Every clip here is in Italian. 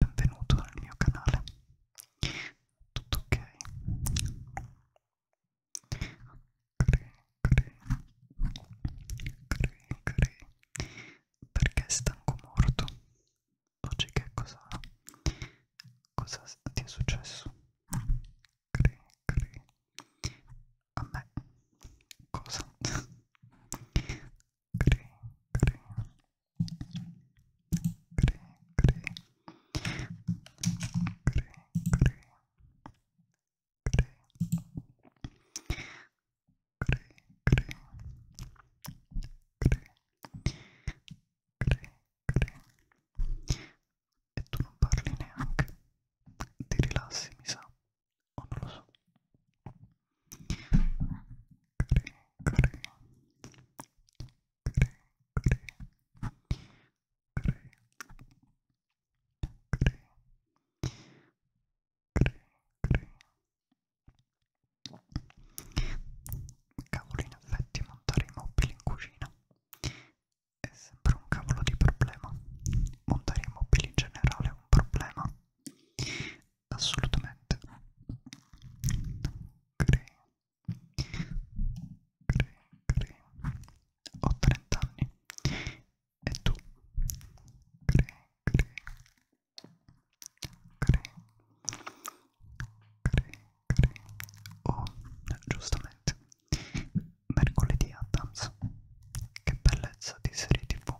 benvenuto nel mio canale. Tutto ok? Cre, cre, cre, cre. Perché è stanco morto? Oggi che cosa? Cosa ti è successo? Cre, cre. A me cosa? cri, cri, cri, cri, cri, cri, cri. Cri, cri, cri, cri, cri. E tu non parli neanche. Ti rilassi, mi sa, o non lo so. Cavolo, in effetti, montare i mobili in cucina è sempre un cavolo di problema. Montare i mobili in generale è un problema assolutamente green green green ho 30 anni e tu green green green green green oh giustamente mercoledì Adams che bellezza di serie tv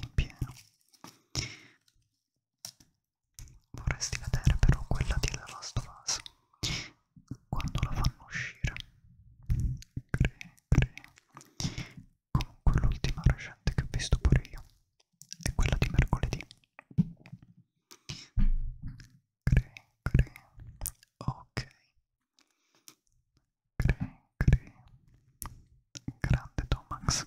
in pieno Vorresti vedere però quella di The Last of Us quando la fanno uscire. Cre, cre. Comunque l'ultima recente che ho visto pure io è quella di mercoledì. Cre, cre. Ok. Cre, cre. Grande Tomax.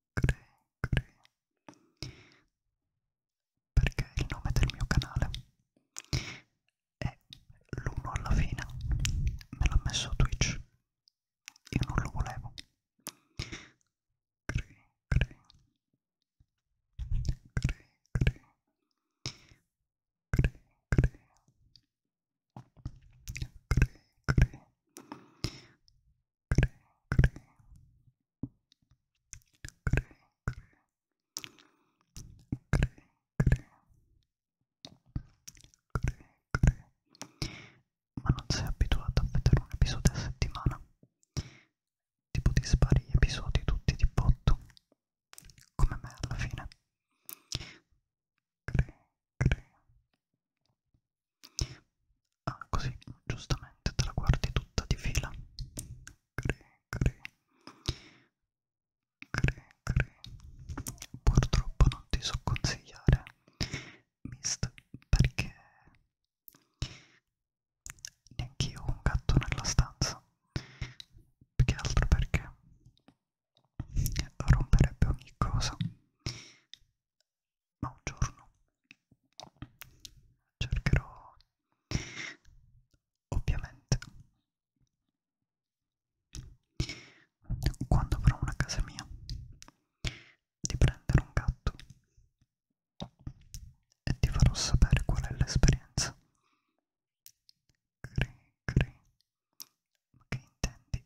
cre, cre perché il nome del mio canale è l'uno alla fine me l'ha messo Twitch io non lo volevo cre, cre cre cre cre cre cre cre cre, cre, cre, cre, cre, cre, cre. Ma non sei abituato a vedere un episodio a settimana? Tipo ti spari gli episodi tutti di botto? Come me alla fine. Cre, cre, Ah, così, giustamente te la guardi tutta di fila. Cre, cre. Cre, cre. Purtroppo non ti so consigliare, Mist, perché neanche io ho un gatto nella stanza. Più che altro perché romperebbe ogni cosa ma un giorno cercherò ovviamente quando avrò una casa mia di prendere un gatto e ti farò sapere qual è l'esperienza cri cri ma che intendi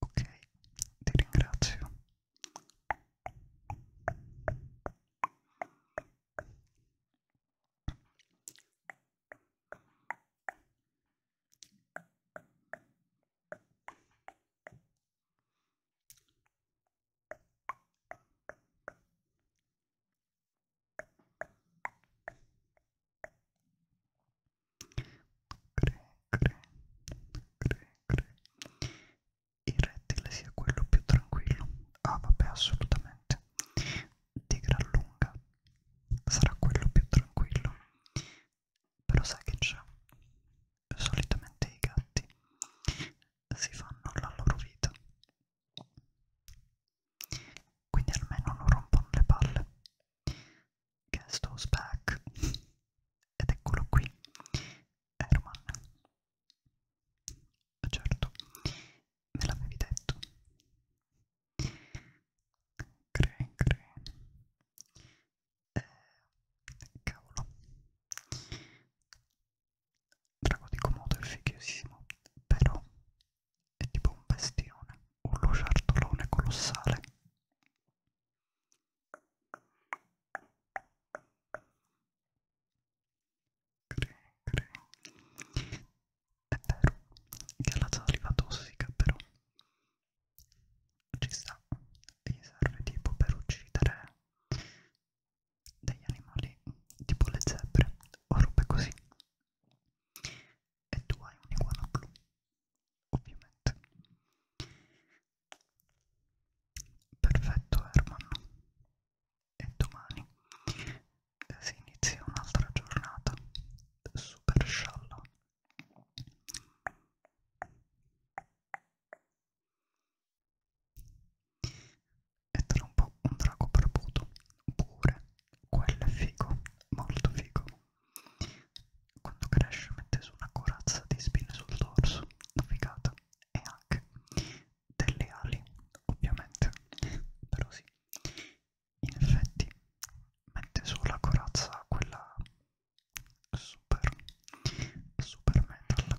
Ok, ti ringrazio. Cre, cre, cre, cre. Il rettile sia quello più tranquillo. Ah, vabbè, assolutamente. Di gran lunga sarà quello più tranquillo. Però sai che c'è? Solitamente i gatti si fanno la loro vita. Quindi almeno non rompono le palle. Guest house back. Ed eccolo qui, Herman. Certo, me l'avevi detto. Crane, crane. Eh, cavolo. Drago di Komodo è fighissimo, però è tipo un bestione, un lucertolone colossale. Cre, cre. È vero che ha la saliva tossica, però ci sta e gli serve tipo per uccidere degli animali tipo le zebre o robe così e tu hai un'iguana blu ovviamente perfetto Herman e domani eh, si inizia un'altra giornata super scialla e tra un po' un drago barbuto pure quello è figo molto figo quando cresce mette su una corazza di spine sul dorso una figata e anche delle ali ovviamente però sì in effetti mette su la corazza quella super super metal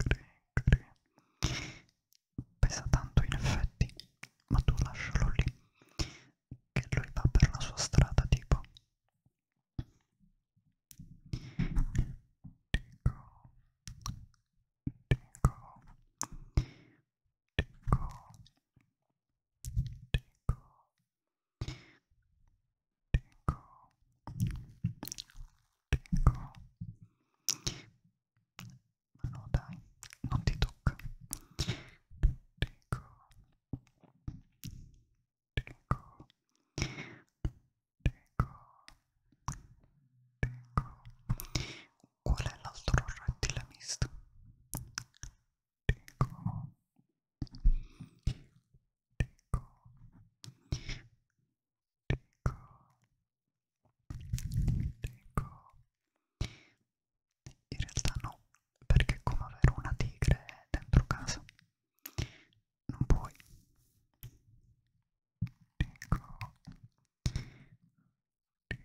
Cre, cre. Pesa tanto in effetti, ma tu lascialo lì, che lui va per la sua strada tipo. Dico, dico, dico, dico, tengo, tengo, ma no dai, non ti tocca, tengo, tengo, tengo, tengo, qual è l'altro rettile misto? Tengo, tengo, dico, dico. In realtà no, perché è come avere una tigre dentro casa. Non puoi. Dico, dico. Dico,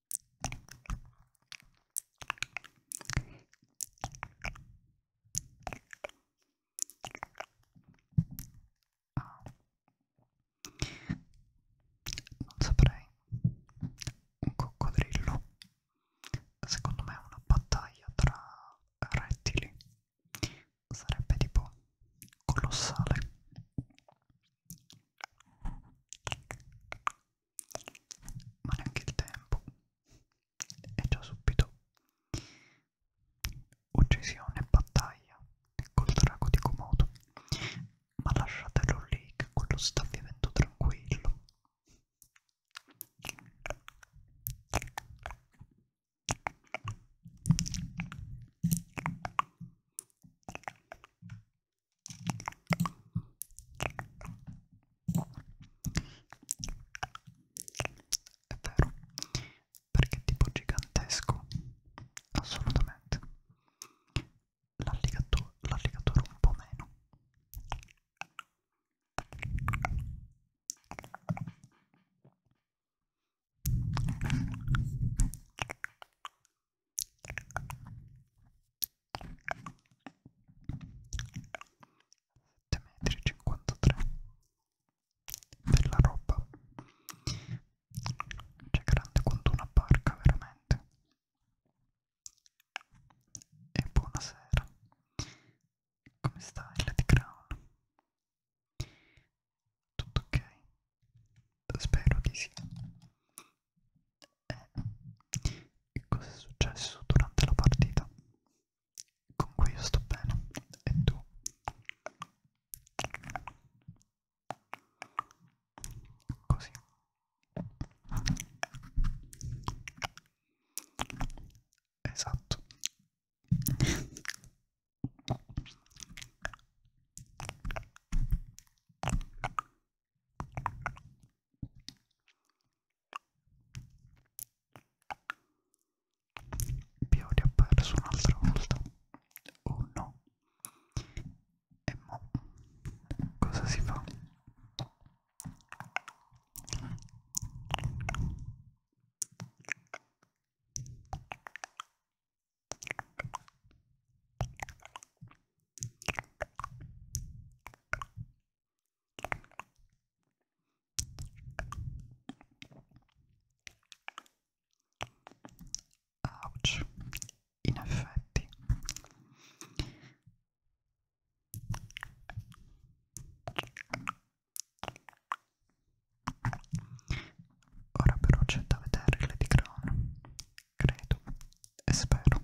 Ah. Non saprei. Un coccodrillo. Secondo me è una battaglia tra rettili. Sarebbe tipo colossale ma neanche il tempo e già subito uccisione e battaglia col drago di Komodo ma lasciatelo lì che quello sta vivendo tranquillo è vero, perché è tipo gigantesco, assolutamente. L'alligatore un po' meno. 7,53 bella roba c'è cioè, grande quanto una barca veramente e buonasera come stai Lady Crown? tutto ok? spero di sì e cosa è successo durante la partita? Con cui io sto bene e tu? Così. Esatto. Più li ho perso un'altra volta. Oh no. E mo cosa si fa? Ouch, in effetti. Ora però c'è da vedere Lady Crown, credo e spero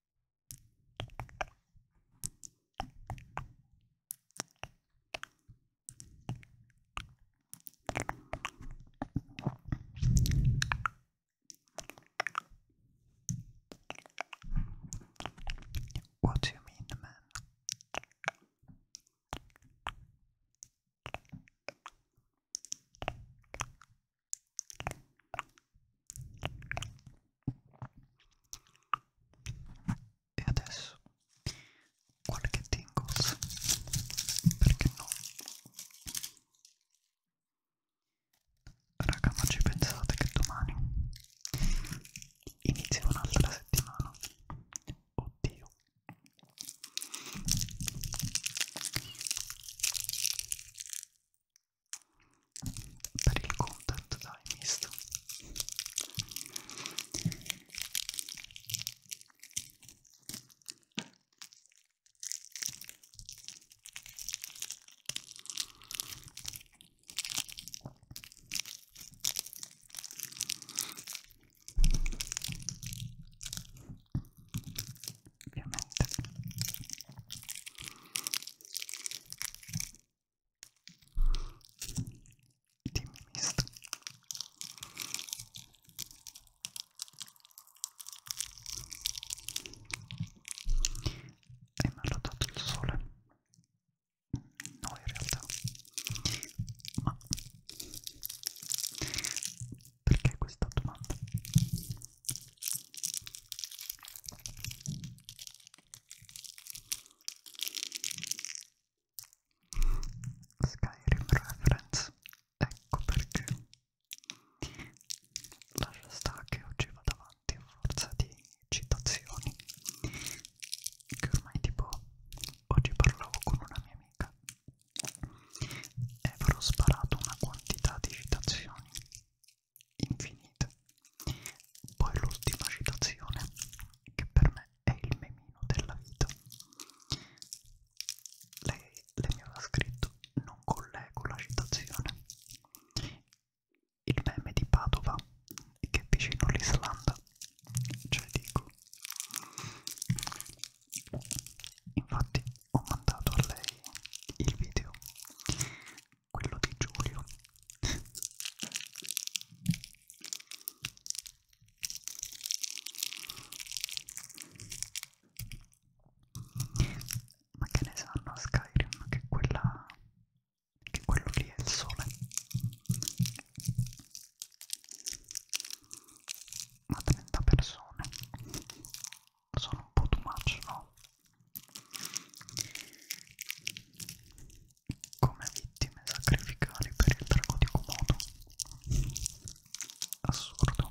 What do you mean, man? E adesso qualche tingles, perché no? Raga, ma ci pensate che domani inizia un'altra settimana? Oddio per il content dai misto ovviamente Dimmi mister. E mi ha dato il sole? No, in realtà. Ma perché questa domanda? Skyrim Reference, ecco perché lascia sta che oggi vado avanti a forza di citazioni che ormai tipo oggi parlavo con una mia amica e avrò sparato una quantità di citazioni infinite. Poi l'ultima citazione, che per me è il memino della vita. Lei, lei mi aveva scritto, non collego la citazione. Il meme di Padova, che è vicino all'Islanda, cioè dico. Infatti ho mandato a lei il video quello di Giulio ma che ne sanno a Skyrim che quella che quello lì è il sole ma 30 persone sono un po' too much no come vittime sacrificali per il drago di Komodo. Assurdo.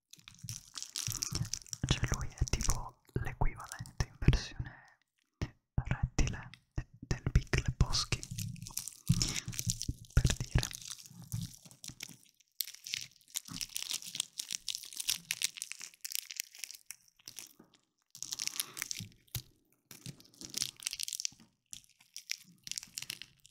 Cioè lui è tipo l'equivalente in versione rettile del Big Lebowski, per dire.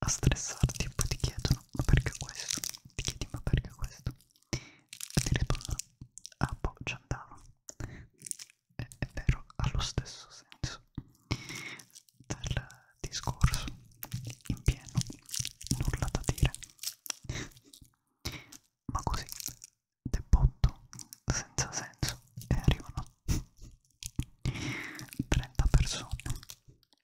a stressarti e poi ti chiedono ma perché questo? Ti chiedi ma perché questo? E ti rispondono ah boh ci andavo. È, è vero, ha lo stesso senso del discorso in pieno, nulla da dire. Ma così, debotto, senza senso, e arrivano 30 persone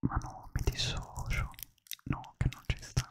ma no, mi dissocio, no, che non ci sta.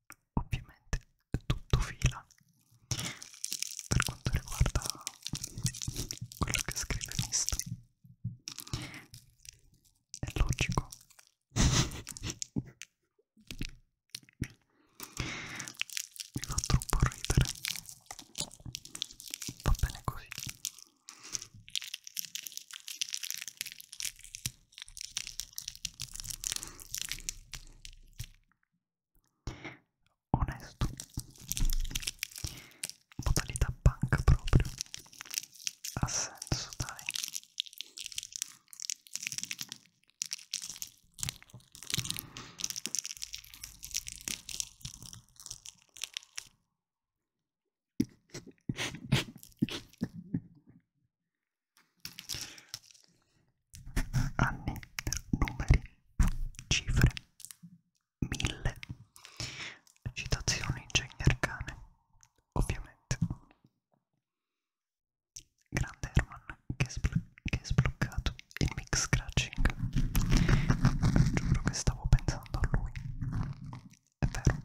ovviamente tutto fila per quanto riguarda quello che scrive Mist è logico mi fa troppo ridere va bene così Onesto. Modalità banca proprio. Ha senso, dai anni, numeri, cifre, mille, citazioni ingegni arcane, ovviamente. Grande Herman che, che è sbloccato il mix scratching. Giuro che stavo pensando a lui. È vero.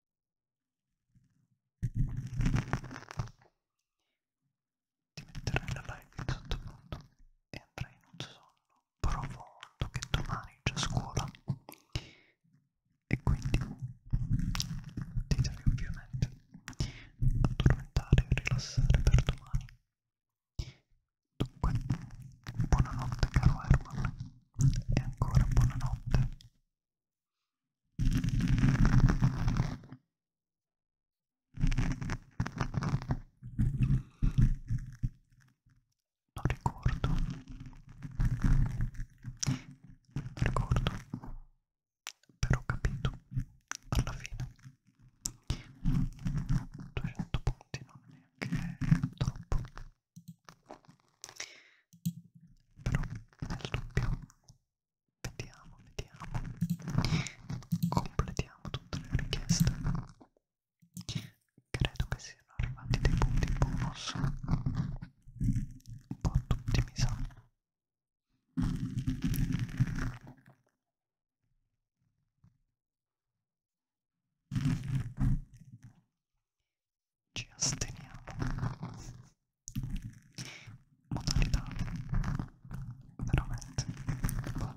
Ti metterai la live in sottofondo e andrai in un sonno profondo che domani c'è scuola e quindi ti devi ovviamente addormentare e rilassare per domani. Dunque, buonanotte caro Herman e ancora buonanotte non ricordo. Non ricordo. Però ho capito. Alla fine. 200 punti non è neanche troppo però nel dubbio vediamo vediamo completiamo tutte le richieste credo che siano arrivati dei punti bonus un po' tutti mi sa ci asteniamo modalità veramente buona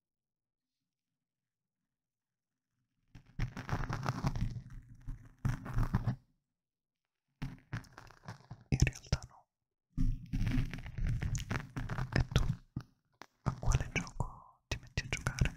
In realtà no. E tu a quale gioco ti metti a giocare?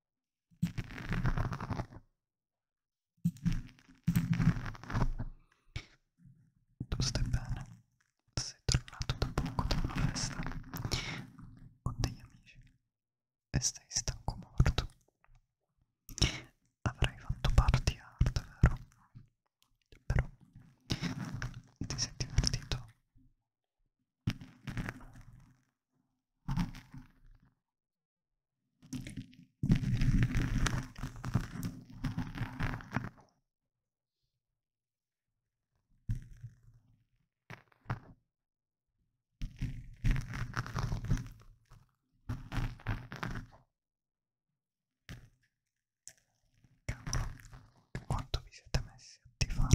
Tu stai bene? Sei tornato da poco da una festa con degli amici e stai stanco morto. Avrai fatto party hard, vero? Però ti sei divertito? Quanto vi siete messi a fare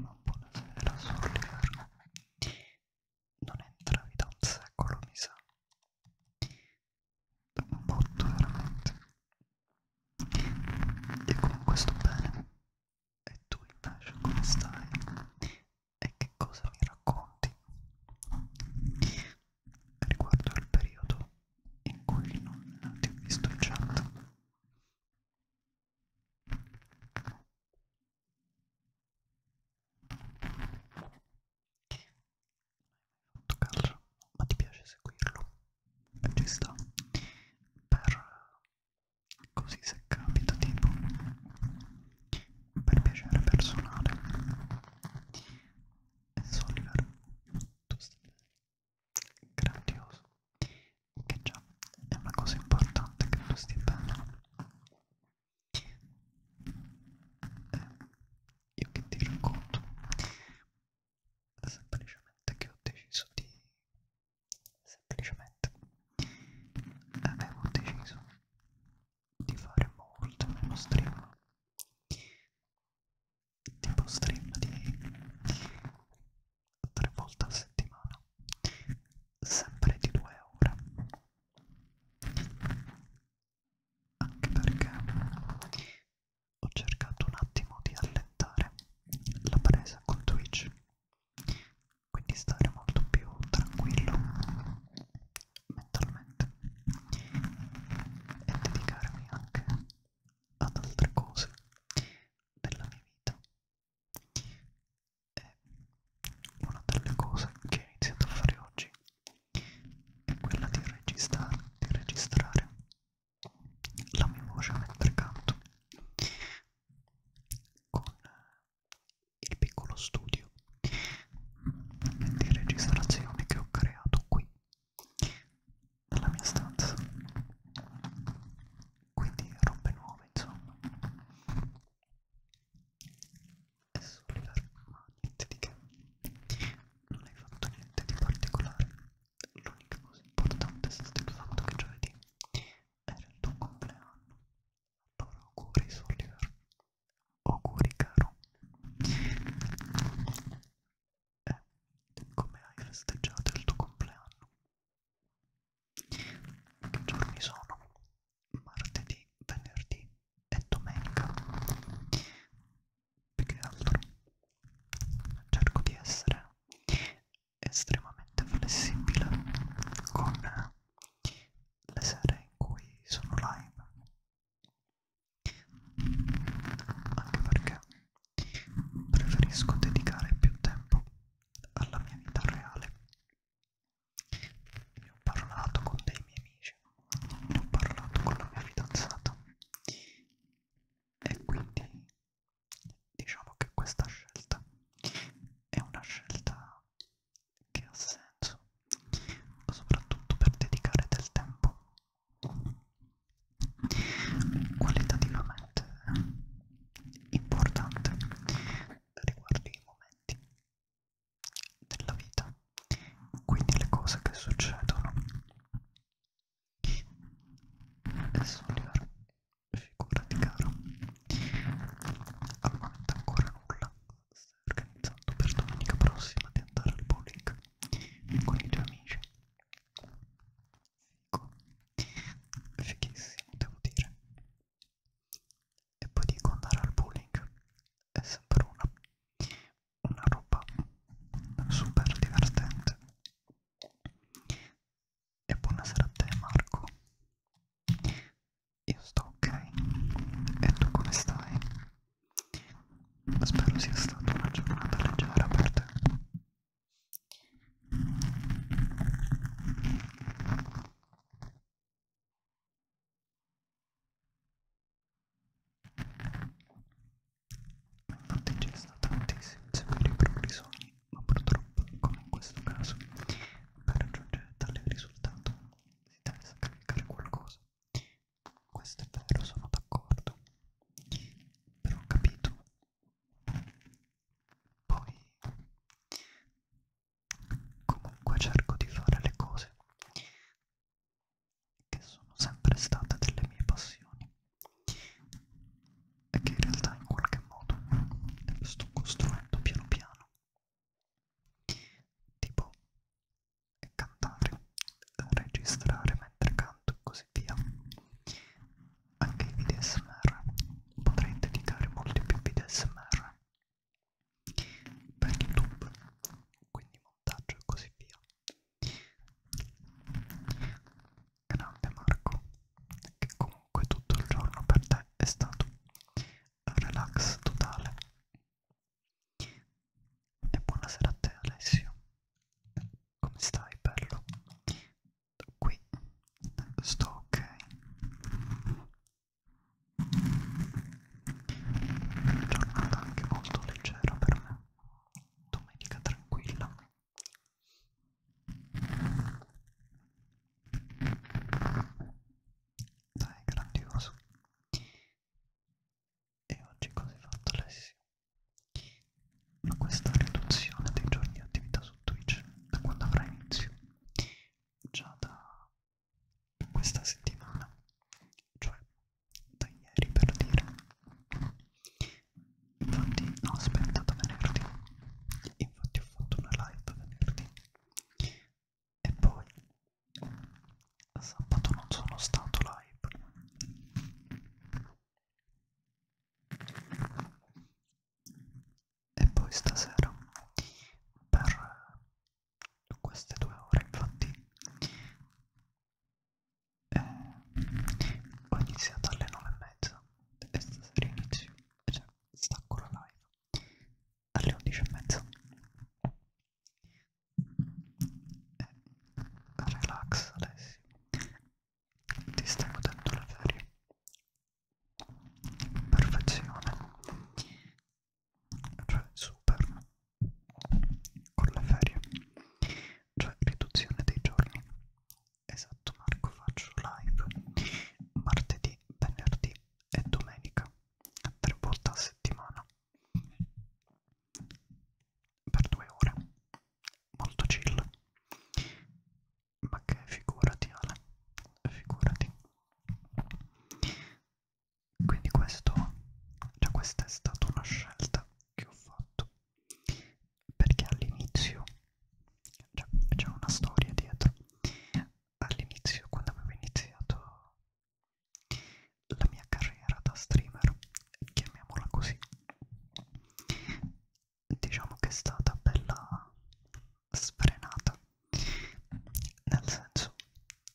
Ma buonasera, Soliver. Non entravi da un secolo, mi sa. Da un botto, veramente. Io comunque sto bene. E tu invece come stai? E che cosa mi racconti? Riguardo al periodo in cui non ti ho visto in chat. Molto calcio, ma ti piace seguirlo? Ci sta. Per così se capita tipo per piacere personale. E Soliver, tu stai grandioso che già è una cosa importante che tu stia bene eh, io che ti racconto semplicemente che ho deciso di semplicemente avevo deciso di fare molto meno stream tipo stream di tre volte a settimana sempre di due ore anche perché ho cercato un attimo di allentare la presa con Twitch quindi stare molto più tranquillo mentalmente e dedicarmi anche ad altre cose della mia vita. E una delle cose che ho iniziato a fare oggi è quella di registrare, di registrare la mia voce mentre canto con il piccolo studio di registrazione che ho creato qui dalla mia stanza quindi robe nuove insomma è solo ma niente di che non hai fatto niente di particolare l'unica cosa importante è stato il fatto che giovedì era il tuo compleanno allora auguri Soliver auguri caro è eh, come hai festeggiato il tuo compleanno. Che giorni sono? Martedì, venerdì e domenica. Più che altro cerco di essere estremamente flessibile con le sere in cui sono live anche perché preferisco dedicare più tempo alla mia vita reale. Ne ho parlato con dei miei amici, ne ho parlato con la mia fidanzata e quindi diciamo che questa scelta è una scelta che ha senso, soprattutto per dedicare del tempo qualitativamente importante riguardo i momenti della vita, quindi le cose che succedono. Adesso Oliver, figurati caro, al momento ancora nulla, stai organizzando per domenica prossima di andare al bowling con i tuoi amici ecco fighissimo devo dire e poi dico andare al bowling è sempre una, una roba super divertente e buonasera a te Marco io sto ok e tu come stai? Spero sia stata una giornata leggera per te. Ho digestato tantissimi severi progrisoni, ma purtroppo, come in questo caso, per raggiungere tale risultato si deve sacrificare qualcosa. Questo è vero, sono d'accordo. Però ho capito poi comunque cerco di fare le cose che sono sempre state delle mie passioni e che in realtà in qualche modo sto costruendo piano piano tipo cantare, registrare mentre canto e così via anche i video smr potrei dedicare molti più video smr per youtube quindi montaggio e così via grande Marco che comunque tutto il giorno per te è stato relax totale e buonasera a te Alessio come stai bello qui sto ok una giornata anche molto leggera per me domenica tranquilla dai grandioso e oggi cosa hai fatto Alessio? Questa riduzione dei giorni di attività su Twitch da quando avrà inizio? Già da questa settimana, cioè da ieri per dire. Infatti, no, aspetta, da venerdì. Infatti, ho fatto una live venerdì. E poi sabato non sono stato live e poi stasera per queste due ore infatti eh, ho iniziato alle nove e mezza e stasera inizio, cioè stacco la live alle undici e mezza eh, relax Alessio ti stai godendo la ferie perfezione cioè super con le ferie cioè riduzione dei giorni esatto Marco faccio live martedì venerdì e domenica tre volte a settimana per due ore molto chill ma che figurati Ale, figurati. Quindi questo, cioè questa è stata una scelta che ho fatto, perché all'inizio, cioè c'è una storia dietro, all'inizio quando avevo iniziato la mia carriera da streamer, chiamiamola così, diciamo che è stata bella sfrenata nel senso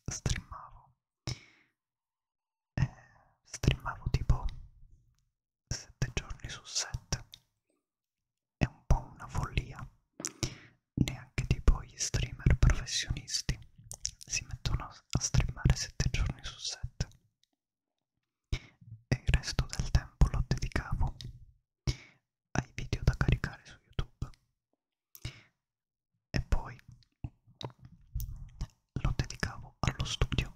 streamavo eh, streamavo tipo 7 giorni su 7 è un po' una follia neanche tipo gli streamer professionisti si mettono a streamare 7 giorni su 7 e il resto del tempo lo dedicavo ai video da caricare su YouTube e poi lo dedicavo allo studio.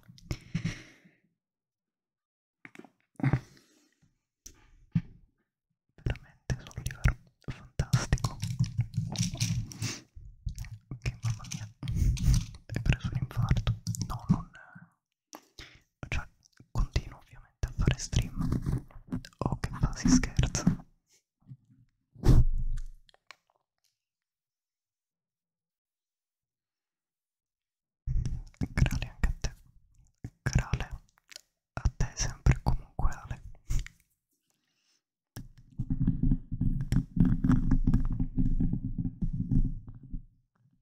Veramente sono un livello fantastico. Che mamma mia, hai preso un infarto. No, non, cioè continuo ovviamente a fare stream oh che fa si scherza Grale anche a te Grale a te sempre comunque Ale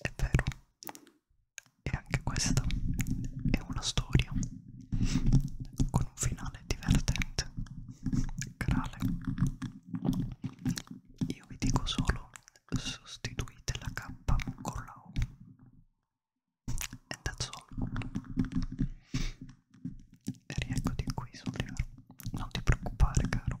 È vero. E anche questa è una storia con un finale divertente, grave. Io vi dico solo sostituite la K con la O. E that's all. E riecco di qui, Solivero. Non ti preoccupare, caro.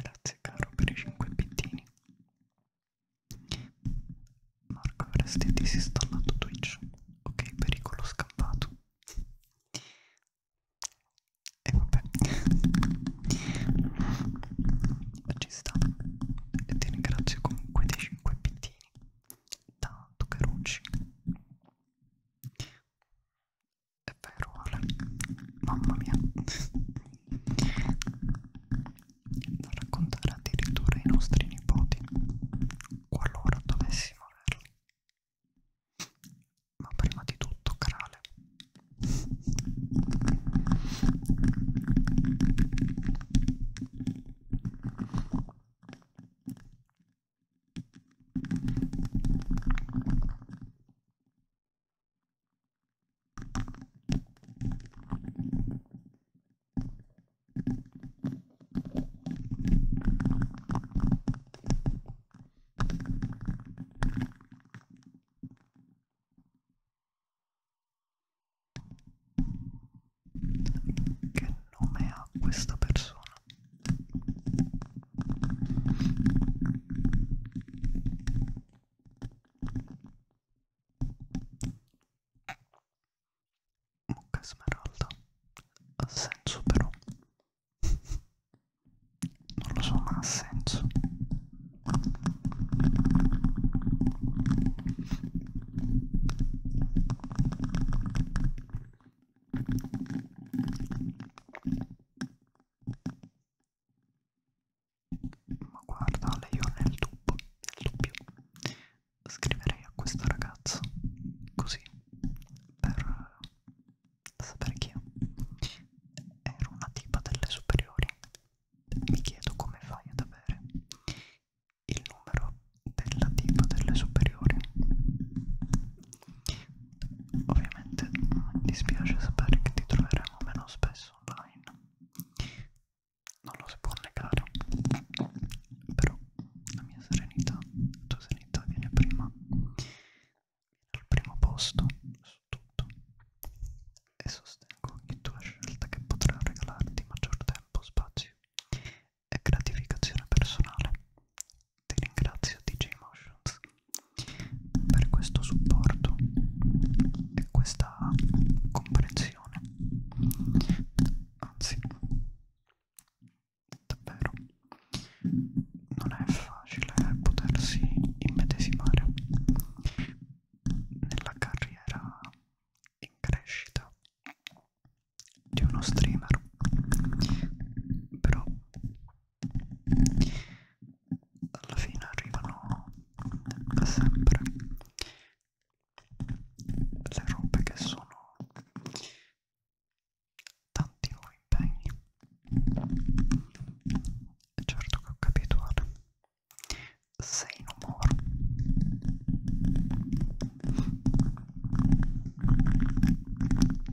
Grazie caro per i 5 pittini. Marco avresti disinstallato Twitch. Ok, pericolo scampato. E vabbè. Ci sta. E ti ringrazio comunque dei 5 pittini. Da Tucarucci è vero, Ale. Mamma mia. Da raccontare addirittura ai nostri nipoti, qualora dovessimo averli. Ma prima di tutto, Crale. Che nome ha questa persona? Mucca smeralda ha senso però non lo so ma ha senso ma guarda, io nel dubbio, nel dubbio scriverei a questa ragazza così per sapere chi è. Era una tipa delle superiori. Mi chiedo come fai ad avere il numero della tipa delle superiori ovviamente mi mm, dispiace sapere che ti troveremo meno spesso online non lo si può negare però la mia serenità la tua serenità viene prima al primo posto su tutto e sostengo ogni tua scelta che potrà regalarti maggior tempo spazio e gratificazione personale. Ti ringrazio DJ Motions per questo supporto e questa comprensione. Anzi, davvero non è facile potersi immedesimare nella carriera in crescita di uno streamer però alla fine arrivano sempre le robe che sono tanti impegni e certo che ho capito ora sei no more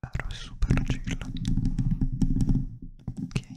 È vero, è super chill. Che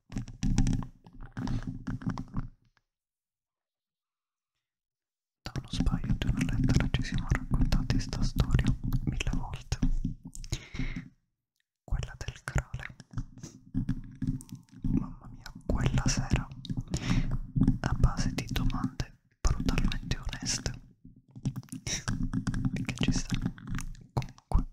Da uno sbaglio di una lettera ci siamo raccontati sta storia mille volte, quella del crale. Mamma mia, quella sera, a base di domande brutalmente oneste, che ci sta comunque.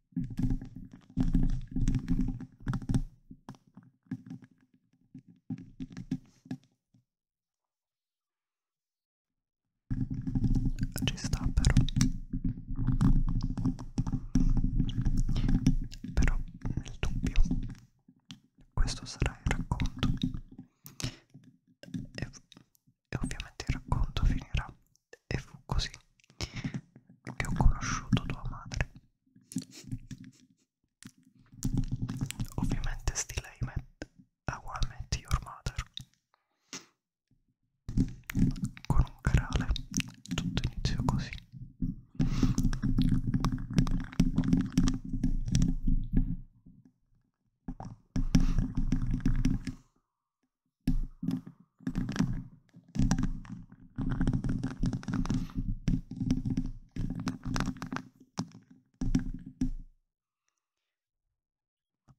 Ci sta però Però nel dubbio Questo sarà il racconto e, e ovviamente il racconto finirà e fu così che ho conosciuto tua madre. Ovviamente still I met, I met your mother. Con un canale tutto iniziò così.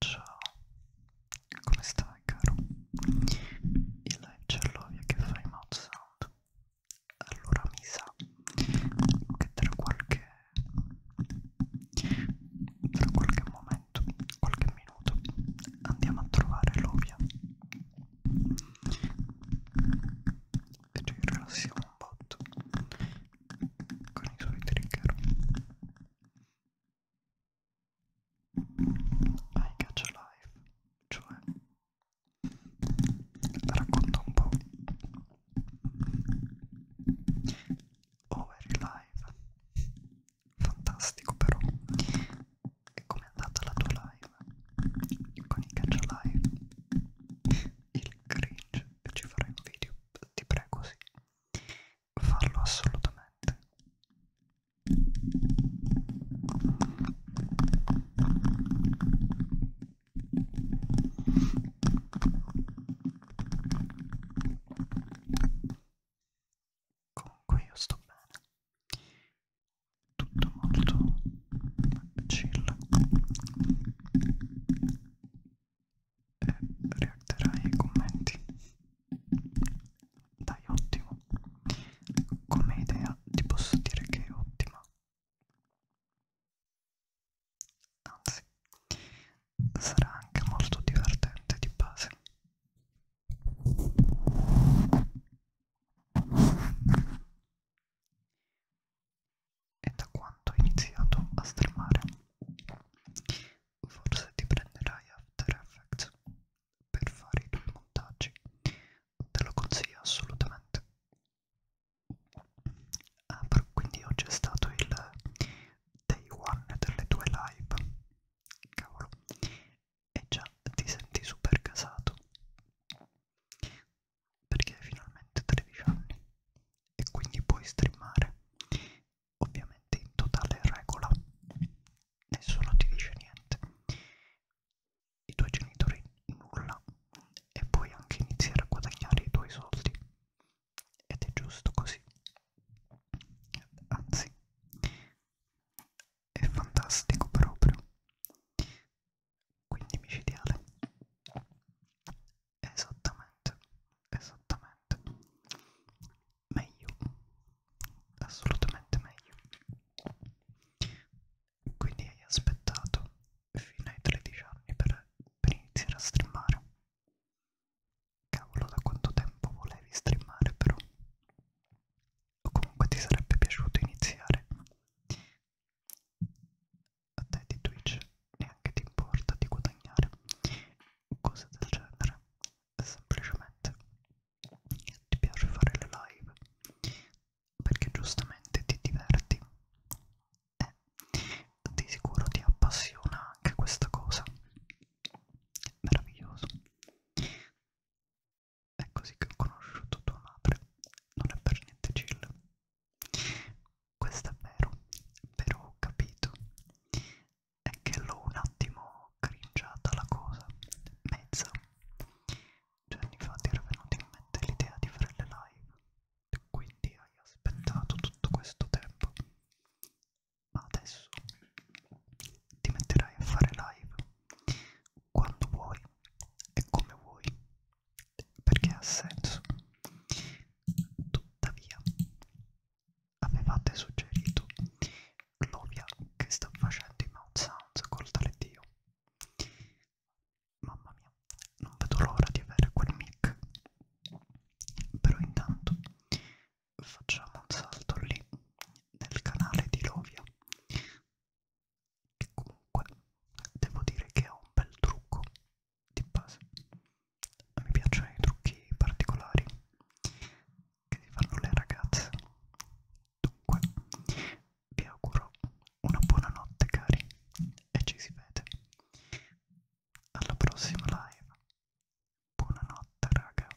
Ciao, come stai caro? Il live ce l'ho via che fai mouth sound Allora mi sa che tra qualche... tra qualche momento momento, qualche minuto, andiamo a trovare l'ovia e ci rilassiamo un botto con i suoi trigger. I catch a life, cioè racconta un po' over live fantastico però e com'è andata la tua live con i catch live il cringe ci farai un video ti prego sì fallo assolutamente comunque io sto bene tutto molto chill e reagirai ai commenti dai ottimo come idea ti posso dire che è ottima anzi sarà anche molto divertente di base e da quanto ho iniziato a streamare, forse ti prenderai After Effects per fare i tuoi montaggi, te lo consiglio assolutamente. Ah, però quindi oggi è stato il day one delle tue live. Cavolo, e già ti senti super casato perché hai finalmente 13 anni e quindi puoi streamare ovviamente in totale regola nessuno ti dice niente i tuoi genitori nulla e puoi anche iniziare a guadagnare i tuoi soldi ed è giusto così anzi è fantastico proprio quindi micidiale esattamente esattamente meglio assolutamente meglio quindi hai aspettato fino ai 13 anni per, per iniziare a streamare cavolo da quanto tempo volevi streamare però o comunque ti sarebbe piaciuto iniziare a te di Twitch neanche ti importa di guadagnare cose del genere semplicemente ti piace fare le live perché giustamente ti diverti e eh, di sicuro ti appassiona anche questa cosa meraviglioso è così che ho conosciuto tua madre, non è per niente chill. Questo è vero, però ho capito. È che l'ho un attimo cringiata la cosa, mezza. Due anni fa ti era venuta in mente l'idea di fare le live, quindi hai aspettato tutto questo tempo ma adesso ti metterai a fare live quando vuoi e come vuoi perché ha senso tuttavia avevate suggerito l'ovia che sta facendo i mouth sounds col tale dio mamma mia non vedo l'ora di avere quel mic però intanto facciamo un salto lì nel canale di Lovia che comunque devo dire che ha un bel trucco di base mi piacciono i trucchi particolari che si fanno le ragazze dunque vi auguro una buona notte cari e ci si vede alla prossima live buonanotte raga